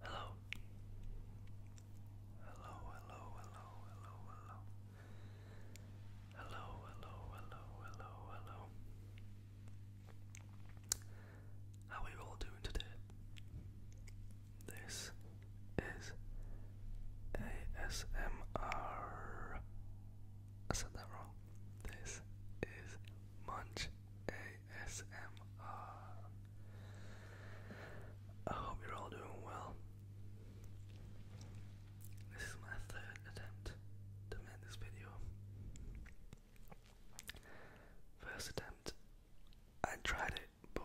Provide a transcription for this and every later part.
Hello. Hello. Hello, hello, hello, hello, hello. Hello, hello, How are you all doing today? This is ASMR. I said that wrong. This is Munch ASMR. I hope you're all doing well. This is my third attempt to make this video. First attempt, I tried it but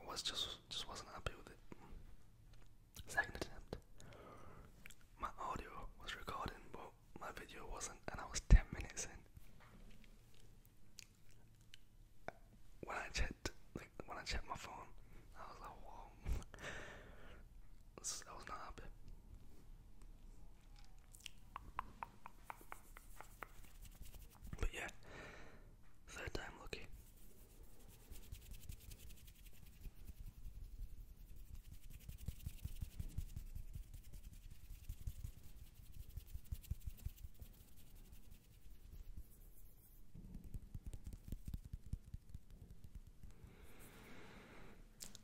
I was just just wasn't happy with it. Second attempt. My audio was recording but my video wasn't and I was ten minutes in. When I checked when I checked my phone, I was like, Whoa I was not happy. But yeah, third time lucky.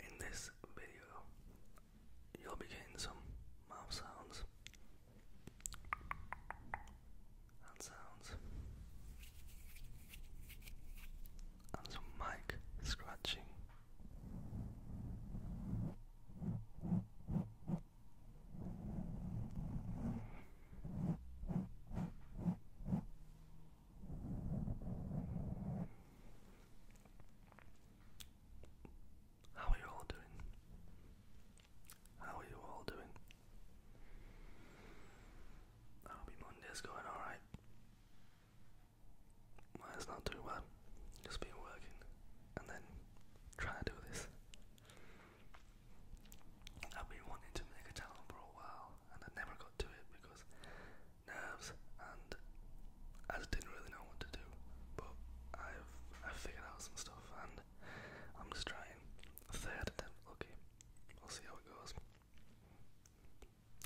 In this video, you'll be getting some mouth sounds and sounds and some mic scratching. How are you all doing? How are you all doing? I hope your Monday's going alright. Mine's not too bad. Just been working and then trying to do this. I've been wanting to make a channel for a while and I never got to it because nerves and I didn't really know what to do. But I've I figured out some stuff and I'm just trying. Third attempt, okay. We'll see how it goes.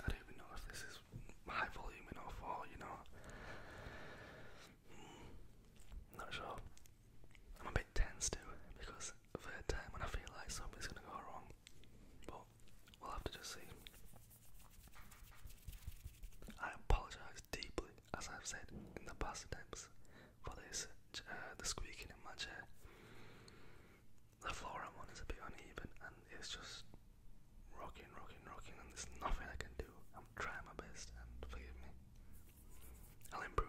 I don't even know if this is high volume enough or, you know. Hmm. not sure. I'm a bit tense too because the third time when I feel like something's gonna go wrong. But we'll have to just see. I apologise deeply as I've said in the past times, for this uh, the squeaking in my chair. The floor I'm on is a bit uneven and it's just rocking, rocking, rocking, and there's nothing I can do. I'm trying my best, and forgive me. I'll improve.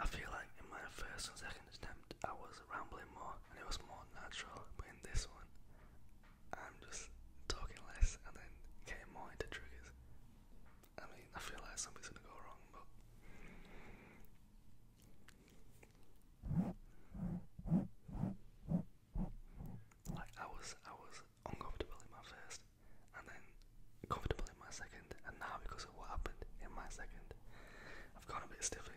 I feel like in my first and second attempt I was rambling more and it was more natural, but in this one I'm just talking less and then getting more into triggers. I mean, I feel like something's gonna go wrong, but. Like I was, I was uncomfortable in my first, and then comfortable in my second, and now because of what happened in my second, I've gone a bit stiff again.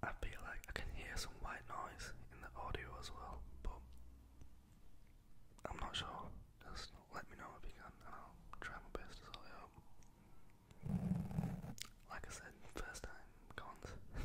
I feel like I can hear some white noise in the audio as well, but I'm not sure. Just let me know if you can, and I'll try my best to sort it out. Like I said, first time, cons.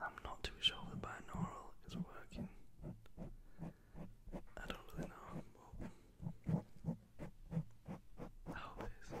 I'm not too sure the binaural is working. I don't really know, I hope it is.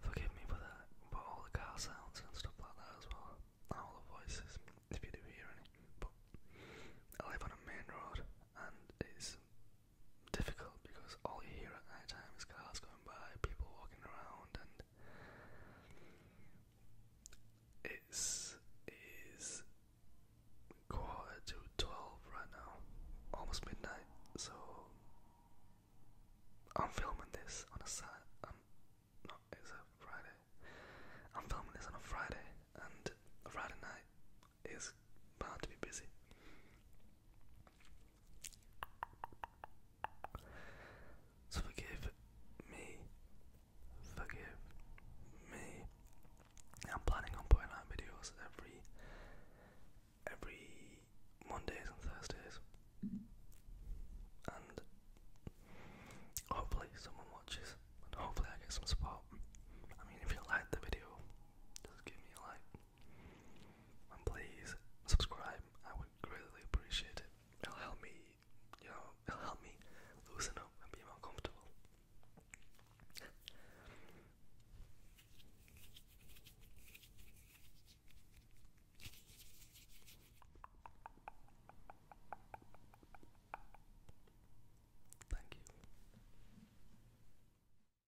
Forgive me for that, but all the car sounds and stuff like that as well, and all the voices, if you do hear any. But I live on a main road, and it's difficult because all you hear at night time is cars going by, people walking around, and it's is quarter to twelve right now, almost midnight. So I'm filming this on a Saturday. Um, no, it's a Friday. I'm filming this on a Friday, and a Friday night is bound to be busy. So forgive me. Forgive me. I'm planning on putting out videos every every Mondays and Thursdays. And hopefully someone watches hopefully I get some support. I mean if you liked the video, just give me a like. And please subscribe. I would greatly appreciate it. It'll help me, you know, it'll help me loosen up and be more comfortable. Thank you.